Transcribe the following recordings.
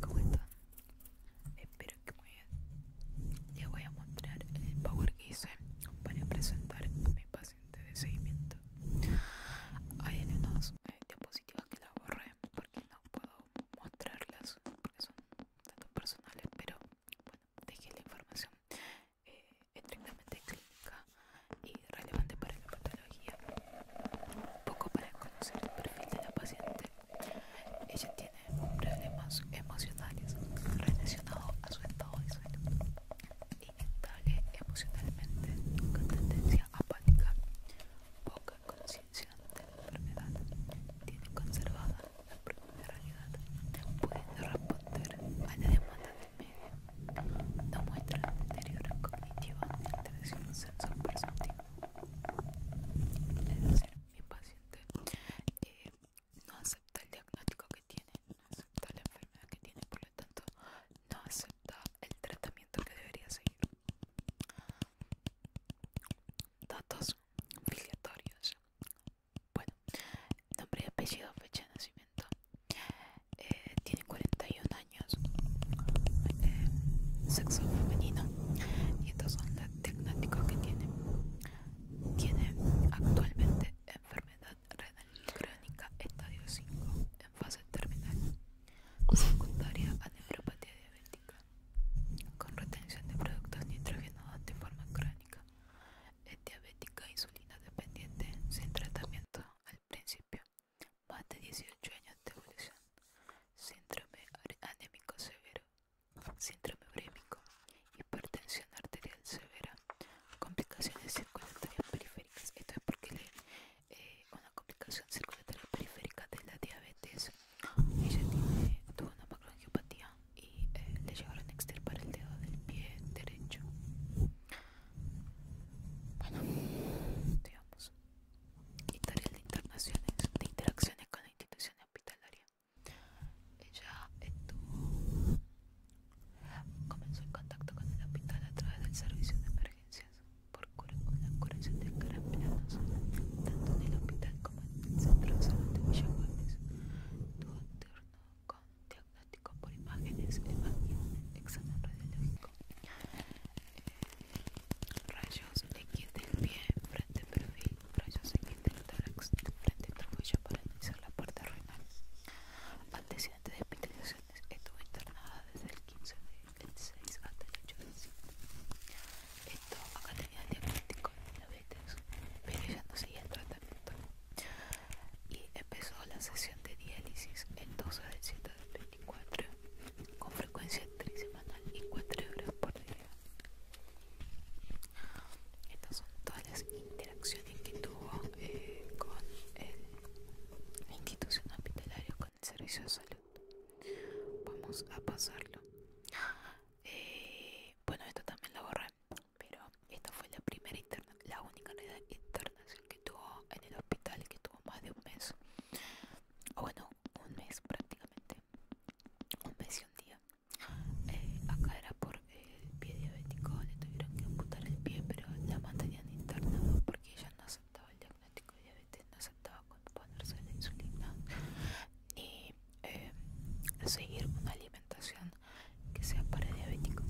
¿Cómo están? Espero que muy bien. Les voy a mostrar el power que hice para presentar a mi paciente de seguimiento. Hay unas eh, diapositivas que las borré porque no puedo mostrarlas porque son datos personales, pero bueno, dejé la información eh, estrictamente clínica y relevante para la patología, poco para conocer el perfil de la paciente. Ella tiene problemas emocionales relacionados a su estado de salud, está emocionalmente, con tendencia apática, poca conciencia de la enfermedad, tiene conservada la propia realidad, puede responder a la demanda no muestra deterioro cognitivo ni alteración sensor-perceptiva. mi paciente eh, no acepta el diagnóstico que tiene, no acepta la enfermedad que tiene, por lo tanto, no acepta el tratamiento que debería seguir. Datos filiatorios. Bueno, nombre y apellido, fecha de nacimiento, eh, tiene 41 años, eh, sexo femenino, y estos son los diagnósticos que tiene. Tiene actualmente enfermedad renal crónica estadio 5 en fase terminal, secundaria a neuropatía diabética, con retención de productos nitrogenados de forma crónica, es diabética insulina dependiente sin tratamiento al principio más de 18 años de evolución, síndrome anémico severo, síndrome brémico hipertensión arterial severa, complicaciones circulatorias periféricas. Esto es porque eh, una complicación circulatoria periférica de la diabetes. Ella tuvo una macroangiopatía y eh, le llegaron a extirpar el dedo del pie derecho. Bueno, digamos, editorial de internaciones, de interacciones con la institución hospitalaria. Ella estuvo, comenzó el contacto con el hospital a través del servicio de emergencias por cura, curación de caramelos, tanto en el hospital como en el centro de salud de Villa Tuvo un turno con diagnóstico por imágenes, imagen, examen radiológico, Rayos eh, rayos X del pie, frente perfil, rayos X del tórax, frente tobillo para analizar la parte renal. anteciente de hospitalizaciones, estuvo internada desde el 15 de 6 hasta el 8 de 5. Esto acá tenía el diagnóstico de diabetes, pero ya no seguía el tratamiento. Y empezó la sesión de diálisis el 12 de 24 con frecuencia trisemanal y 4 horas por día. Estas son todas las interacciones que tuvo eh, con la institución hospitalaria, con el servicio de salud. Vamos a pasarlo. Eh, bueno, esto también lo borré, pero esta fue la primera interna, la única internacional que tuvo en el hospital que tuvo más de un mes o bueno un mes prácticamente un mes y un día eh, acá era por el pie diabético le tuvieron que amputar el pie pero la mantenían internado porque ella no aceptaba el diagnóstico de diabetes no aceptaba ponerse la insulina ni eh, seguir una alimentación que sea para diabético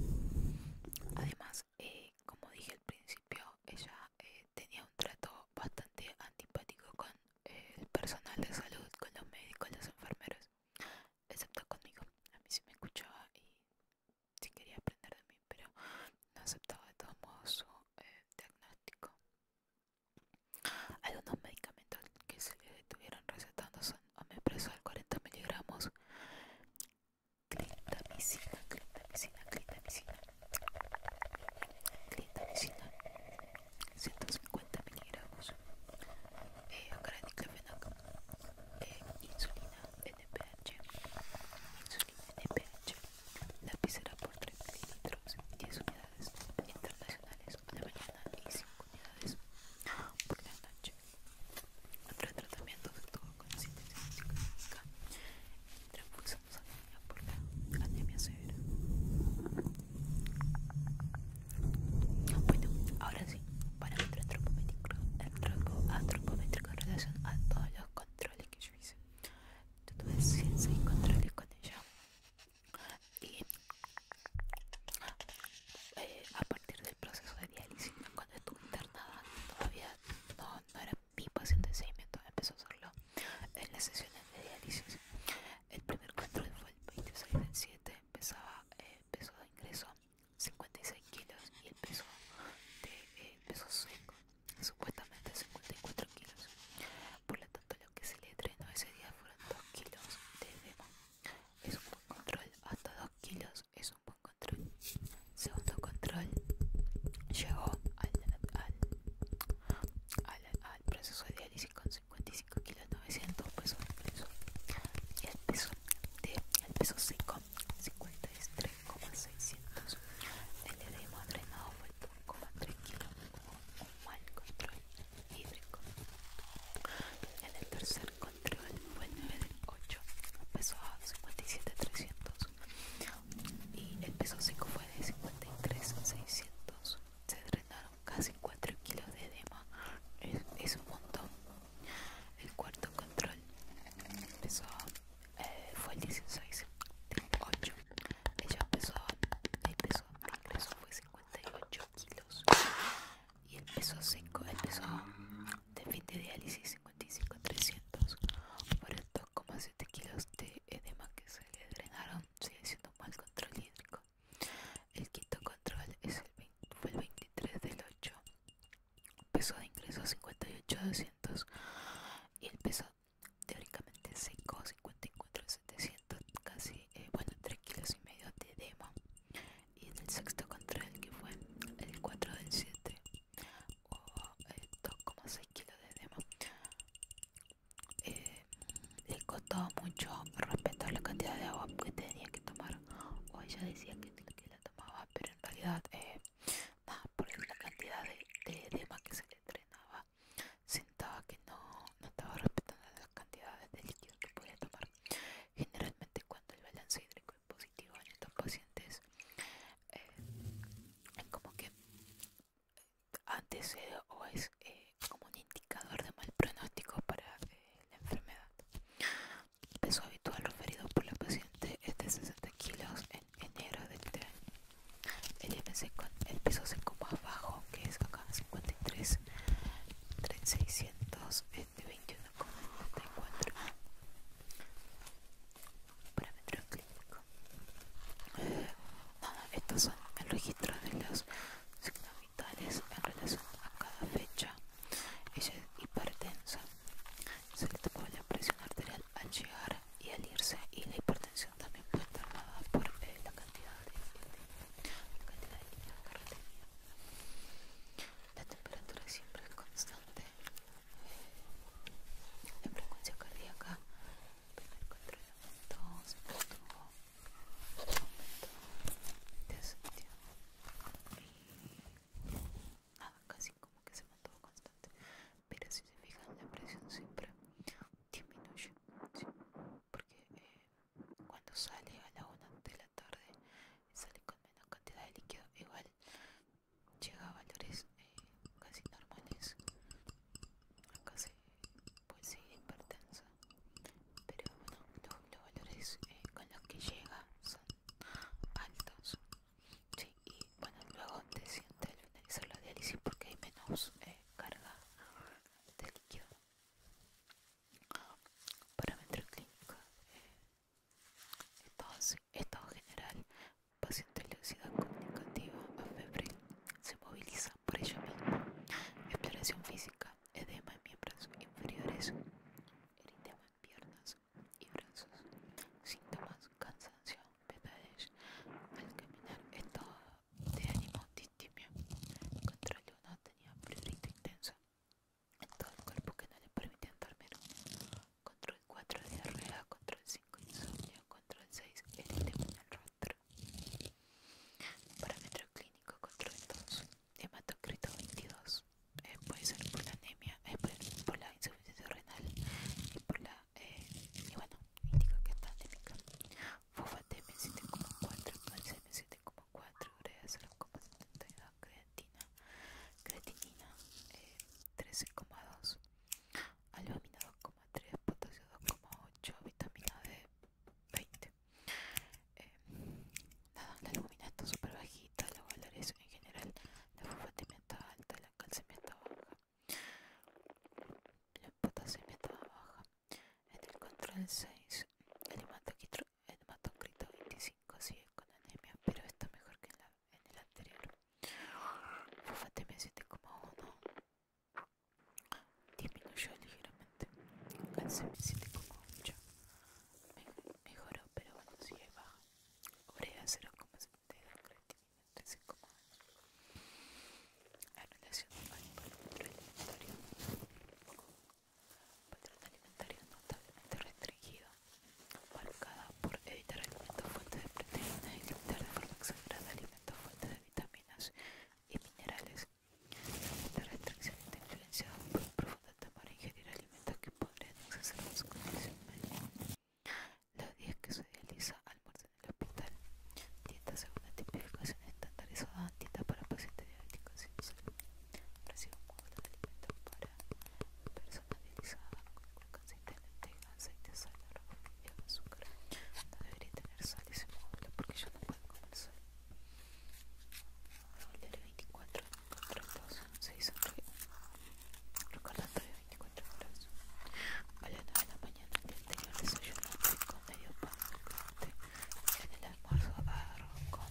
además eh, como dije al principio, ella eh, tenía un trato bastante antipático con eh, el personal de salud, con los médicos, los enfermeros, excepto conmigo. A mí sí me escuchaba y sí quería aprender de mí, pero no aceptaba de todos modos su diagnóstico diagnóstico. Algunos medicamentos que se le estuvieron recetando son de 40 miligramos, clindamicina, clindamicina, clindamicina, 150 miligramos, eh, agraniclofenac, eh, insulina NPH, insulina NPH, lapicera por 3 mililitros, 10 unidades internacionales a mañana y 5 unidades por la noche. Otro tratamiento que tuvo con sintética transfuxamos anemia por la anemia severa. Bueno, ahora sí, para parámetro antropométrico en relación a todos los controles que yo hice. Yo tuve 106 controles con ella. Y eh, a partir de el proceso de diálisis. Cuando estuve internada todavía no, era mi paciente de seguimiento, empezó a hacerlo en las sesiones de diálisis. El primer control fue el 26 del 7, empezaba eh, peso de ingreso 56 kilos y el peso de eh, peso seco supuestamente 54 kilos. Por lo tanto lo que se le drenó ese día fueron 2 kilos de demo. Es un buen control, hasta 2 kilos es un buen Segundo control llegó al, proceso de diálisis con 55 kilos 900 pesos y el peso de el peso seco 53,600 el de madre fue 1,3 kilos un mal control hídrico el tercer control fue el 9 del 8 pesó 57,300 y el peso 5 fue de 53,600 se drenaron casi 4 kilos de edema es, un montón el cuarto control pesó eh, fue el 16 8 ella empezó el peso fue 58 kilos y el peso 5 el peso de fin de diálisis 300 por el 2,7 kilos de edema que se le drenaron sigue siendo más mal control hídrico el quinto control fue el 23 del 8 peso de ingreso 58.200 y el peso teóricamente seco 54.700 casi eh, bueno 3 kilos y medio de edema y en el sexto control que fue el 4 del 7 o 2,6 kilos de edema eh, le costaba mucho respetar la cantidad de agua que tenía que tomar o ella decía que, que la tomaba pero en realidad eh, nada por la cantidad de, edema que se le entrenaba sentaba que no, no estaba respetando las cantidades de líquido que podía tomar generalmente cuando el balance hídrico positivo en estos pacientes eh, es como que antes eh, o es eh, como un indicador de mal pronóstico para la enfermedad. el Peso habitual referido por la paciente es de 60 kilos en enero del este El, peso seco más bajo, que es acá 53, 3600, es de 21,94. Parámetro clínico. estos son el registro de los signos vitales en relación a cada fecha ella es hipertensa se le tocó la presión arterial al llegar y al irse y la hipertensión también puede estar nada por eh, la cantidad de, la líquido que la temperatura siempre es constante la frecuencia cardíaca, primer control aumentó, se mantuvo, aumentó, y nada, casi como que se mantuvo constante. Pero si se fijan, la presión siempre disminuye, porque cuando sale a la una de la tarde, sale con menos cantidad de líquido, igual llega a valores eh, casi normales casi pues sí hipertensa pero bueno los, valores eh, con los que llega son altos y bueno luego te sientes al finalizar la diálisis porque hay menos eh, carga de líquido para clínica estado general, paciente de velocidad comunicativa a febril, se moviliza por ella misma. Exploración física, edema en miembros inferiores, eritema en piernas y brazos. Síntomas, cansancio, pesadez. Al caminar, estado de ánimo distimio. de una tenía prurito intenso en todo el cuerpo que no le permiten dormir. Control 4 diarrea, control 5 insomnio, control 6 eritema en el rostro. Parámetro clínico control 2, hematocrito 22. Eh, puede ser por la anemia, eh, por, la insuficiencia renal y por la... Eh, y bueno, indico que está anémica. Fufa TM7,4, 7,4, urea 0,72 creatina, creatinina 13,2, alumina 2,3, potasio 2,8, vitamina D 20. Eh, nada, la alumina está súper bajita, la valoración en general, la fosfatemia está alta, la calcimia está baja, la potasemia está baja. En el control 6, el hematoquito el grito 25 sigue con anemia, pero está mejor que en, la, en el anterior. Fofatemia 7,1 disminuyó ligeramente. Calcemia 7,8 mejoró, pero bueno, es baja. Urea 0,72, creatinina 13,1. La relación al otro alimentario patrón alimentario notablemente restringido, marcada por evitar alimentos fuentes de proteínas y limitar de forma exagerada alimentos fuentes de vitaminas y minerales. Esta restricción está influenciada por un profundo temor a ingerir alimentos que podrían exacerbar su condición médica. La días que se realiza almuerzo en el hospital, dieta según la tipificación estandarizada, dieta para pacientes diabéticos y salud, recibe un modelo de alimentos para personalizada consistentemente en aceite, sal, y azúcar. No debería tener sal se módulo porque yo no puedo comer sal. Volver 24 contratos, 6 recordatorio 24 horas. A las 9 de la mañana del anterior desayuno con medio pan de En el almuerzo agarro con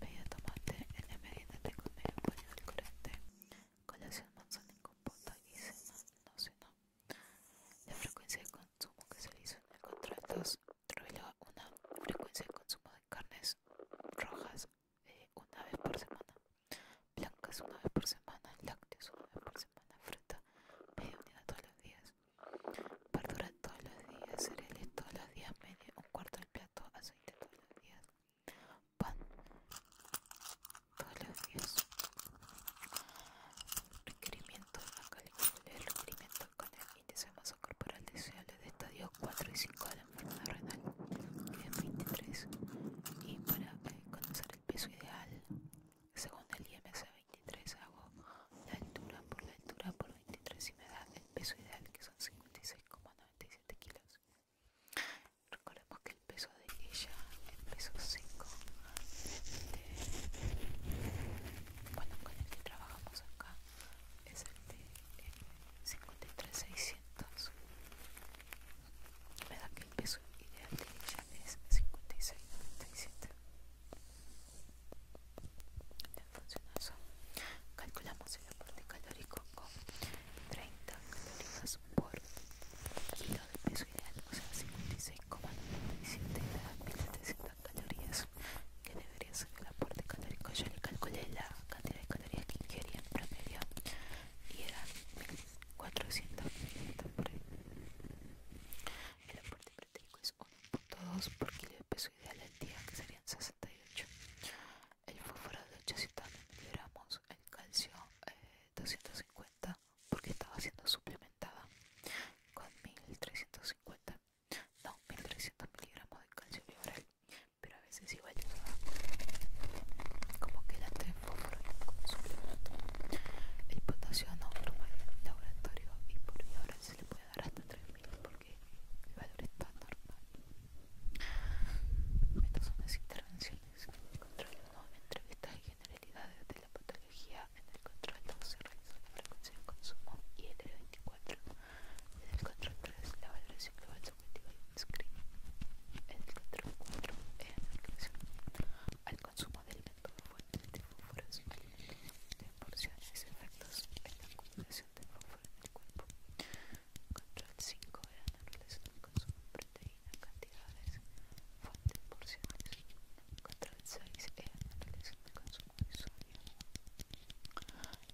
medio tomate. En la merienda tengo medio pan manzana y cena, no cena. La frecuencia de consumo que se le hizo en el contrato reveló una frecuencia de consumo de carnes rojas eh, una vez por semana, blancas una vez por semana, lácteos una vez por semana, fruta media unidad todos los días, verduras todos los días, cereales todos los días, media un cuarto del plato, aceite todos los días pan todos los días requerimiento con el índice de masa corporal deseable de estadios 4 y 5 de la enfermedad renal que es 23 y para eh, conocer el peso ideal según el IMC 23 hago la altura por la altura por 23 y me da el peso ideal que son 56,97 kilos Recordemos que el peso de ella es peso 5. Bueno, con el que trabajamos acá es el de 53600. Eh, Me da que el peso ideal de ella es 5697. eso, calculamos el aporte calórico con 30 calorías por kilo de peso ideal, o sea 56,97 a calorías, que debería ser el aporte calórico. Yo le calculé la cantidad de calorías que quería en promedio y eran 1400 por El aporte calórico es 1.2 por kilo de peso ideal al día, que serían 68 el fósforo de 800 miligramos, el calcio 250 eh, porque estaba siendo suplementada con 1350, no, 1300 miligramos de calcio libre pero a veces igual llegar como que la tres fósforos. como suplemento. El potasio no normal en laboratorio y por ahora se le puede dar hasta 3000 que el valor está normal. Estas son las intervenciones. Control 1. Entrevistas y generalidades de la patología. En el control 2 se la frecuencia de consumo y el 24 En el control 3 la valoración global subjetiva y el screening. En el control 4 en la relación al consumo del alimentos fuente de fósforos alimentos de porciones efectos en la acumulación de fósforo en el cuerpo. Control 5 la naturaleza del consumo de proteína, cantidades, fuentes, porciones. Control 6 la naturaleza del consumo de sodio.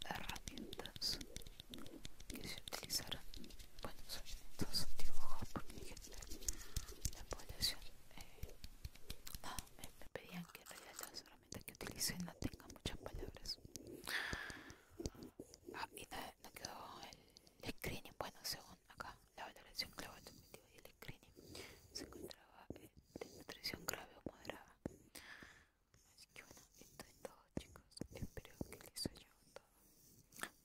Herramientas que se utilizaron. Bueno, son estos dibujos porque la población. Eh, no, me, me pedían que en realidad las que utilicen no tenga muchas palabras ah, y no, quedó el screening bueno según acá la valoración clave y el screening se encontraba de nutrición grave o moderada así que bueno esto es todo chicos espero que les haya gustado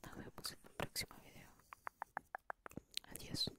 nos vemos en un próximo video adiós